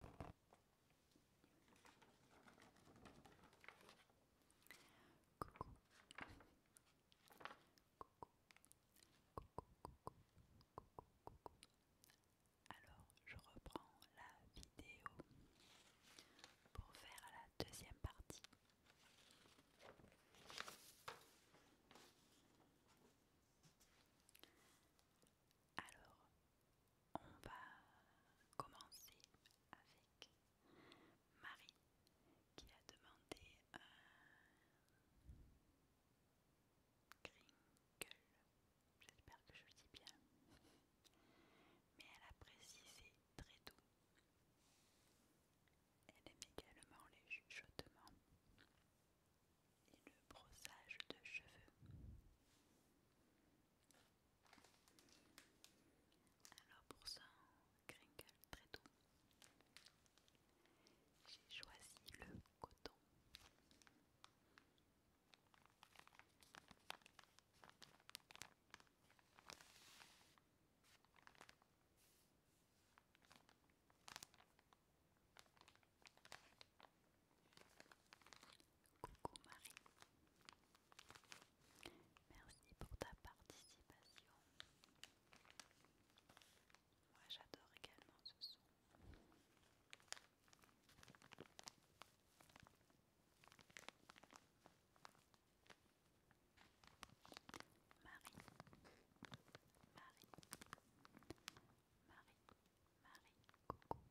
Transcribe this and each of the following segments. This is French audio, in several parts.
Alors, je reprends la vidéo pour faire la deuxième partie. Alors, on va commencer avec Marie qui a demandé un crinkle. J'espère que je le dis bien. Mais elle a précisé très tôt. Elle aime également les chuchotements et le brossage de cheveux. Alors pour ça, crinkle très tôt, J'ai choisi le coton. Coucou Marie. Merci pour ta participation. Moi j'adore également ce son. Marie, Marie, Marie, Marie, coucou, coucou Marie.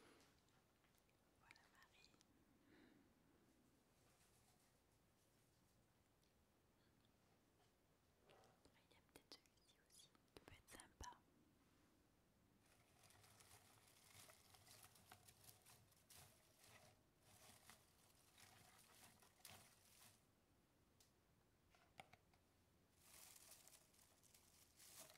Il y a peut-être celui-ci aussi, ça peut être sympa.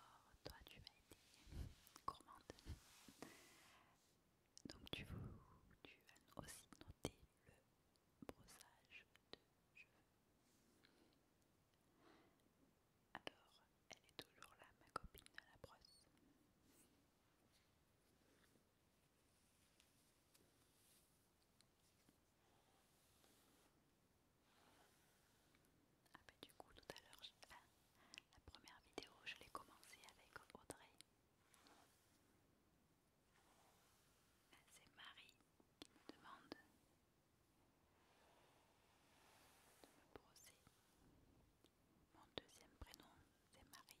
Alors, toi, tu vas été gourmande. Donc, tu, tu as aussi noté le brossage de cheveux. Alors, elle est toujours là, ma copine à la brosse. Ah bah du coup tout à l'heure, la, la première vidéo, je l'ai commencée avec Audrey. Ben, c'est Marie qui me demande de me brosser. Mon deuxième prénom, c'est Marie.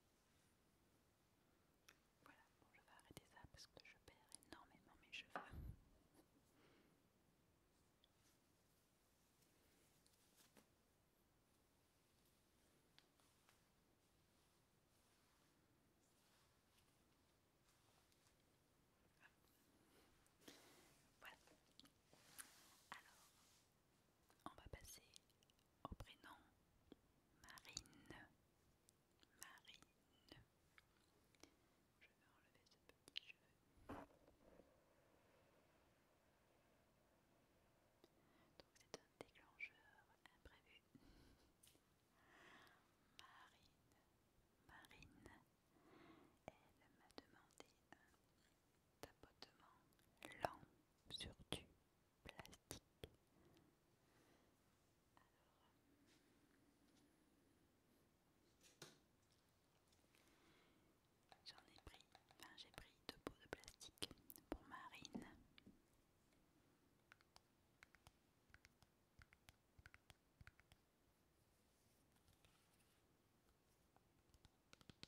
Voilà, bon, je vais arrêter ça parce que je perds énormément mes cheveux. Alors, on va passer au prénom Marine. Marine. Je vais enlever ce petit jeu. Donc c'est un déclencheur imprévu. Marine, Marine, elle m'a demandé un tapotement lent sur tu j'en ai pris, j'ai pris deux pots de plastique pour Marine.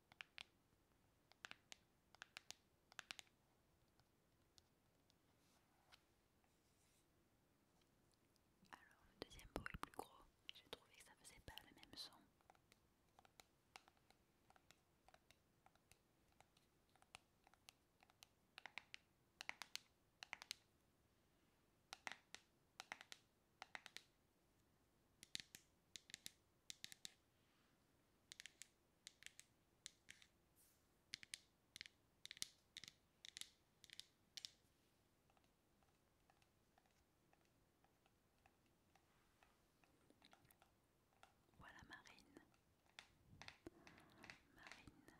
Alors le deuxième pot est plus gros, j'ai trouvé que ça faisait pas le même son. Voilà Marine. Marine, Marine, Marine.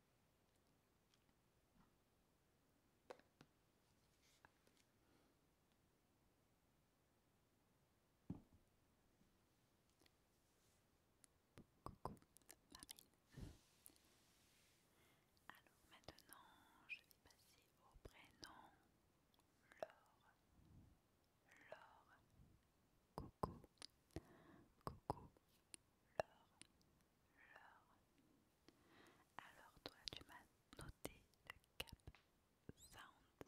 Coucou Marine. Alors maintenant, je vais passer au prénom Laure. Laure coucou, coucou, Alors toi tu m'as noté le cap sound.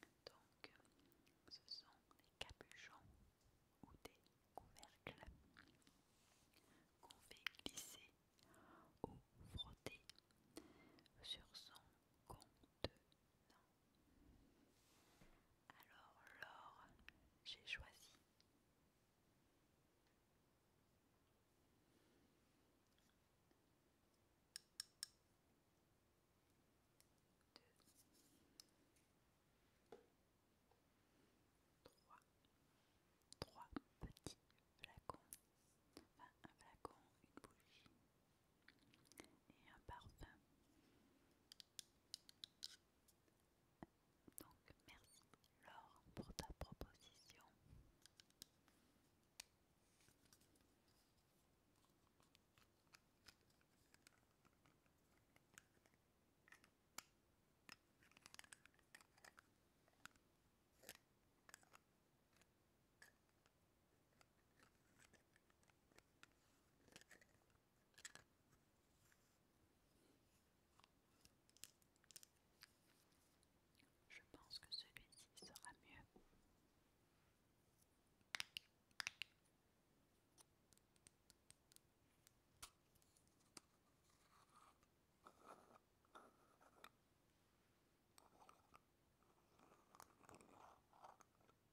Donc ce sont des capuchons ou des couvercles qu'on fait glisser ou frotter sur son compte. Alors l'or, j'ai choisi. Deux. Trois. Trois petits flacons. un flacon, une bougie et un parfum. Donc merci Laure pour ta proposition. Je pense que celui-ci sera mieux.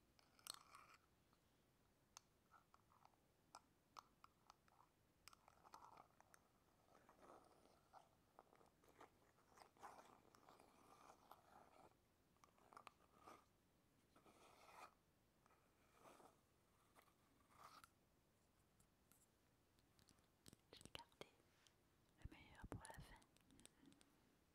J'ai gardé le meilleur pour la fin.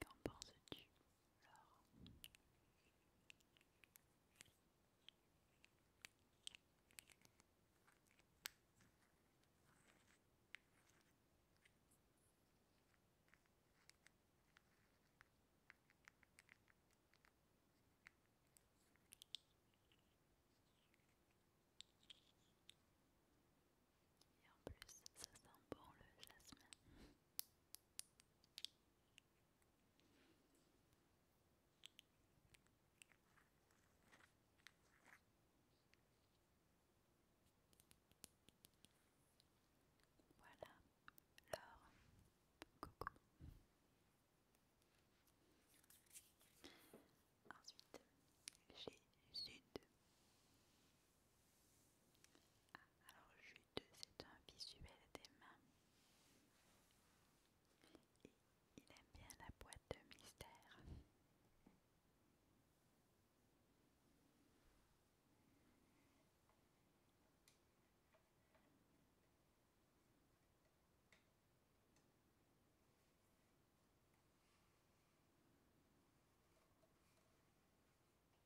Qu'en penses-tu, Laure et en plus, ça sent bon le jasmin. Voilà, alors Coucou. Ensuite, j'ai Sud. Alors Jude, c'est un visuel des mains. Et il aime bien la boîte de mystère.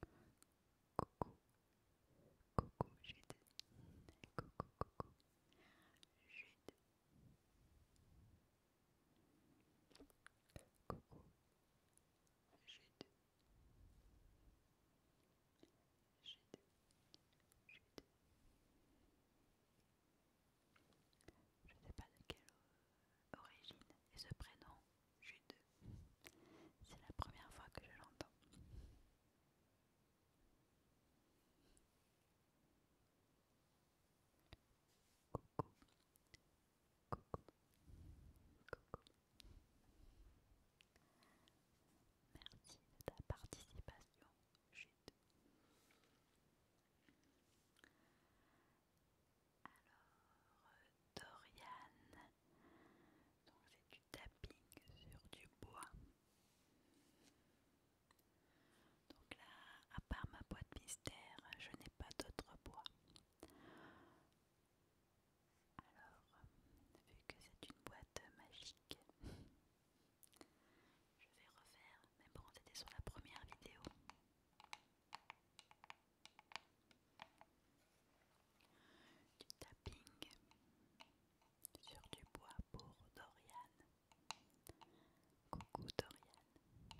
Coucou, coucou j'ai coucou, coucou je ne sais pas de quelle origine est ce prénom, Jude. C'est la première fois que je l'entends. Coucou. Merci de ta participation, Jude. Alors, Dorian, donc c'est du tapping sur du bois. Donc là, à part ma boîte mystère, je n'ai pas d'autre bois. Alors, vu que c'est une boîte magique, je vais refaire, mais bon, c'était sur la première vidéo. Du tapping sur du bois pour Dorian. Coucou Dorian.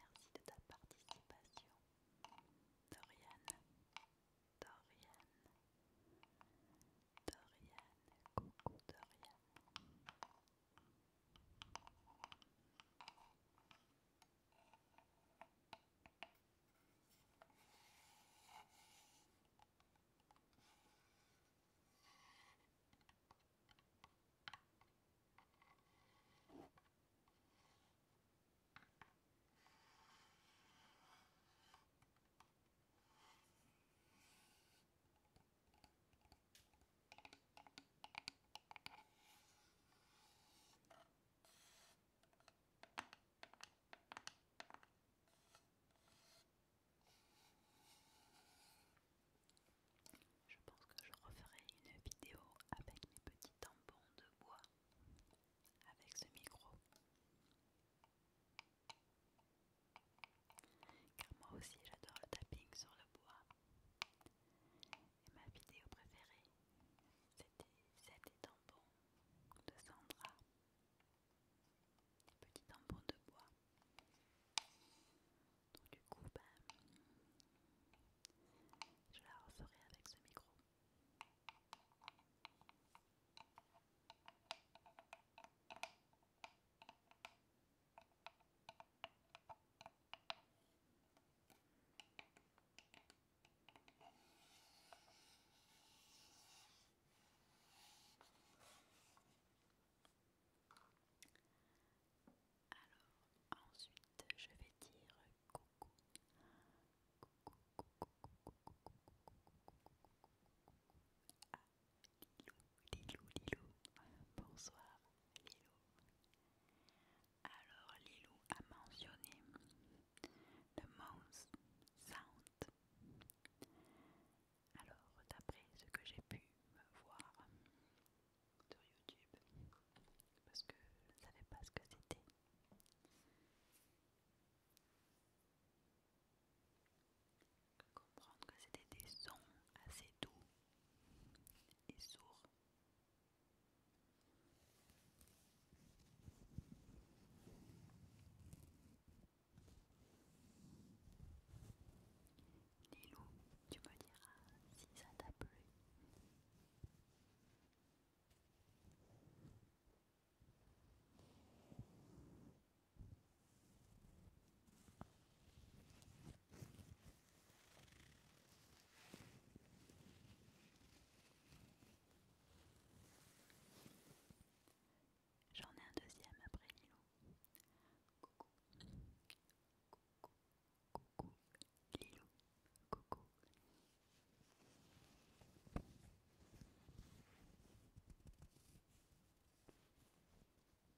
Merci de ta participation. Dorian. Dorian. Dorian, coucou Dorian. Je pense que je referai une vidéo avec mes petits tampons de bois avec ce micro. Car moi aussi j'adore le tapping sur le bois. Et ma vidéo préférée, c'était des tampons de Sandra. des petits tampon de bois. Donc du coup, ben, je la referai avec ce micro. Alors, ensuite, je vais dire coucou. Lilou, Lilou, bonsoir Lilou. Alors Lilou a mentionné le mouse sound. Alors d'après ce que j'ai pu voir sur YouTube, parce que je ne savais pas ce que c'était que comprendre que c'était des sons assez doux et sourds. Lilo, tu me diras si ça t'a plu. J'en ai un deuxième après Lilo. Coucou. Coucou. Coucou. Lilo. Coucou. Coucou.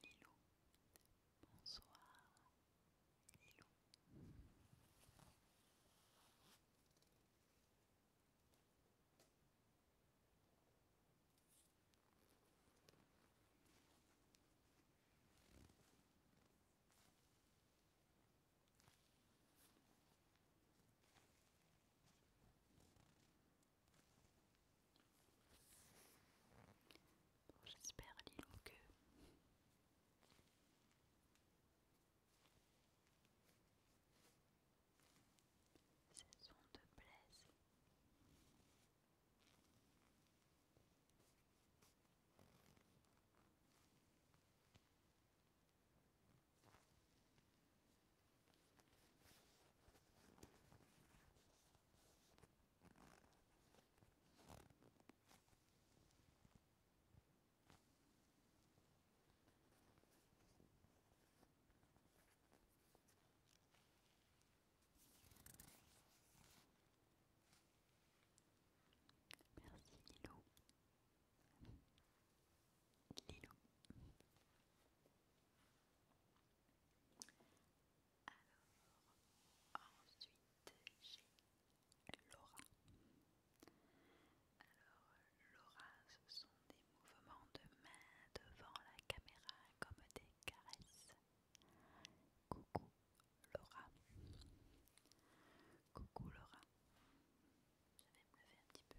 Lilo, bonsoir. Lilo Bon, J'espère, Lilou, que ces sons de blesse. Merci Lilo. Alors, ensuite j'ai Laura. Alors, Laura, ce sont des mouvements de main devant la caméra comme des caresses. Coucou Laura. Coucou Laura. Je vais me lever un petit peu.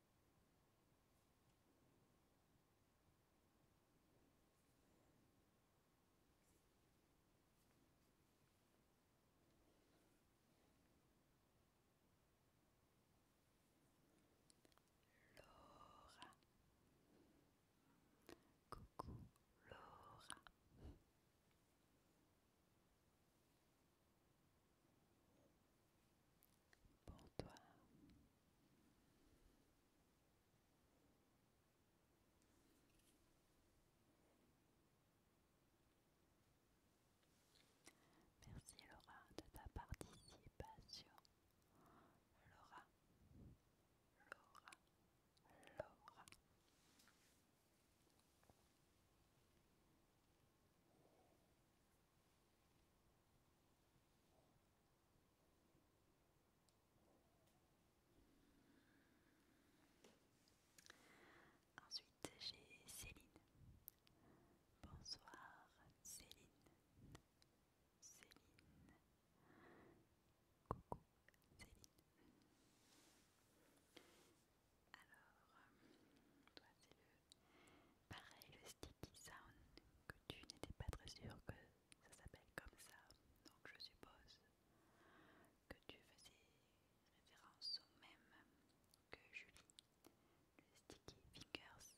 Laura. Coucou Laura pour toi. Merci Laura de ta participation. Laura, Laura, Laura. Ensuite, j'ai Céline. Bonsoir, Céline. Céline. Coucou, Céline. Alors, toi, c'est le Pareil, le sticky sound que tu n'étais pas très sûr que ça s'appelle comme ça. Donc je suppose que tu faisais référence au même que Julie, le sticky fingers.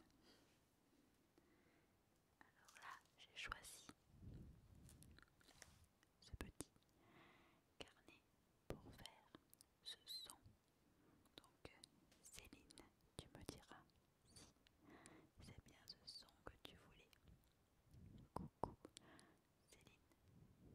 Alors là, j'ai choisi ce petit carnet pour faire ce son donc Céline, tu me diras si c'est bien ce son que tu voulais. Coucou Céline. Céline.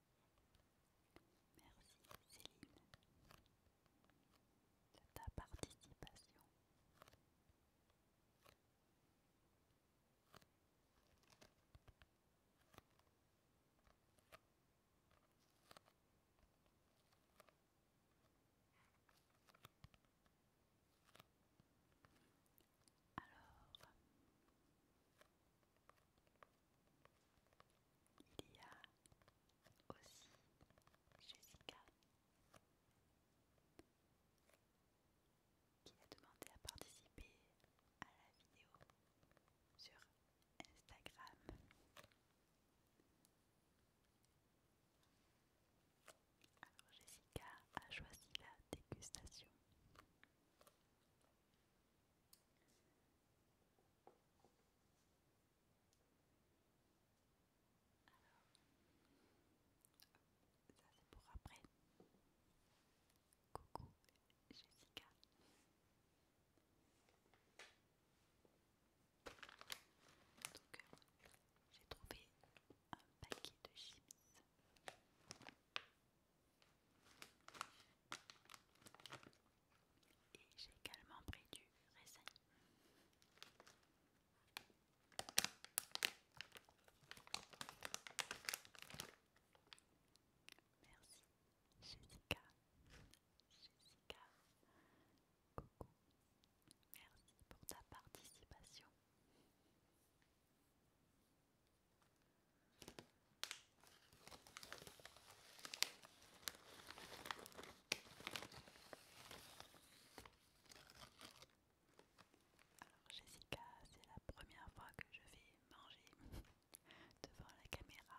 Merci Céline de ta participation. Alors, il y a aussi Jessica qui a demandé à participer à la vidéo sur Instagram. Alors Jessica a choisi la dégustation. Alors, ça c'est pour après. Coucou Jessica. Donc, euh, j'ai trouvé un paquet de chips. Et j'ai également pris du raisin. Merci Jessica. Jessica. Coucou. Merci pour ta participation. Alors Jessica, c'est la première fois que je vais manger devant la caméra.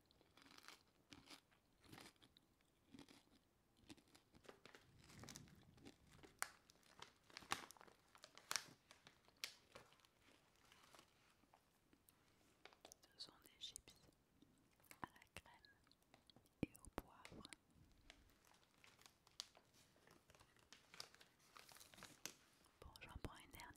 Ce sont des chips à la crème et au poivre. Bon, j'en prends une dernière.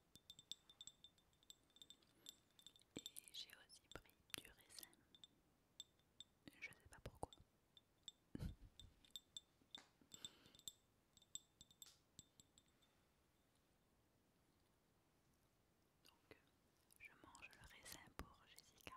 Et j'ai aussi pris du raisin. Je sais pas pourquoi. Donc, je mange le raisin pour Jessica.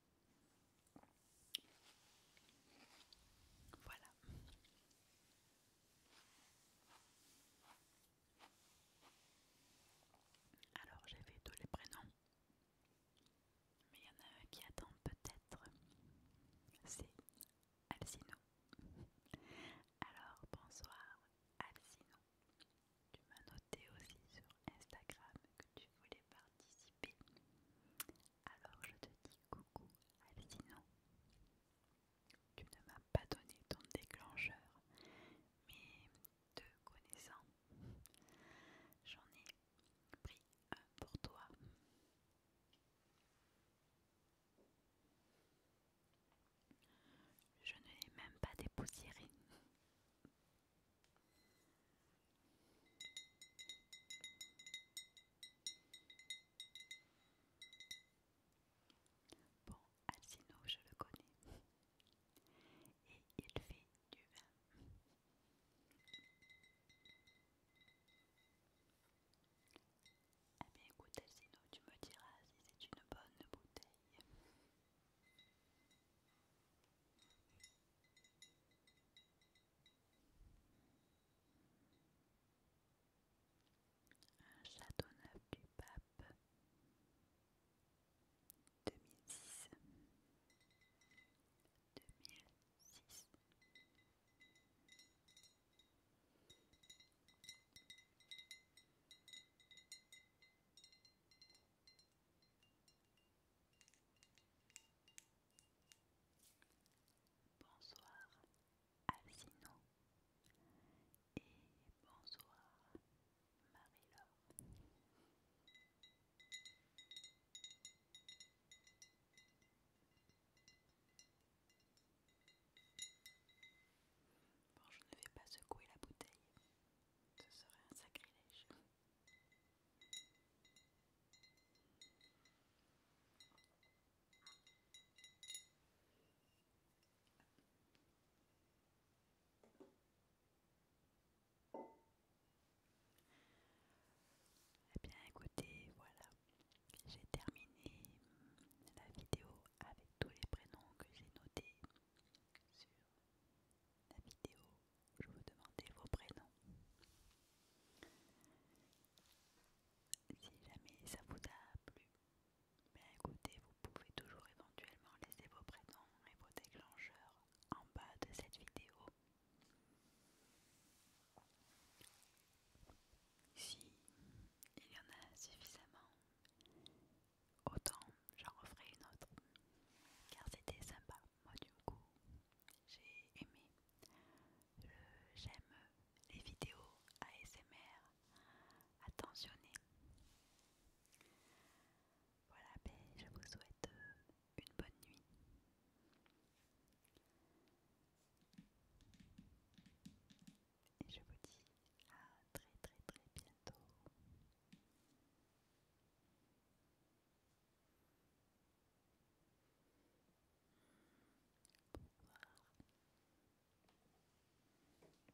Voilà. Alors fait tous les prénoms, mais il y en a un qui attend peut-être. C'est Alcino. Alors bonsoir Alcino. Tu m'as noté aussi sur Instagram que tu voulais participer. Alors je te dis coucou Alcino. Tu ne m'as pas donné ton déclencheur, mais te connaissant, j'en ai pris un pour toi. Je ne l'ai même pas dépoussiéré. Bon, Alcino, je le connais. Et il fait du vin. Eh bien écoute Alcino, tu me diras si c'est une bonne bouteille. Un château du pape 2006 2006 Bonsoir Alcino et bonsoir Marie-Laure. Bon, je ne vais pas secouer la bouteille, ce serait un sacrilège. Eh bien écoutez, voilà, j'ai terminé la vidéo avec tous les prénoms que j'ai notés sur la vidéo je vous demander vos prénoms. Si jamais ça vous a plu, ben écoutez, vous pouvez toujours éventuellement laisser vos prénoms et vos déclencheurs en bas de cette vidéo. Si il y en a suffisamment, autant j'en referai une autre, car c'était sympa moi du coup j'ai aimé j'aime les vidéos ASMR attentionné voilà ben je vous souhaite euh, une bonne nuit et je vous dis à très très très bientôt pour Petite surprise. Je vais tout tomber.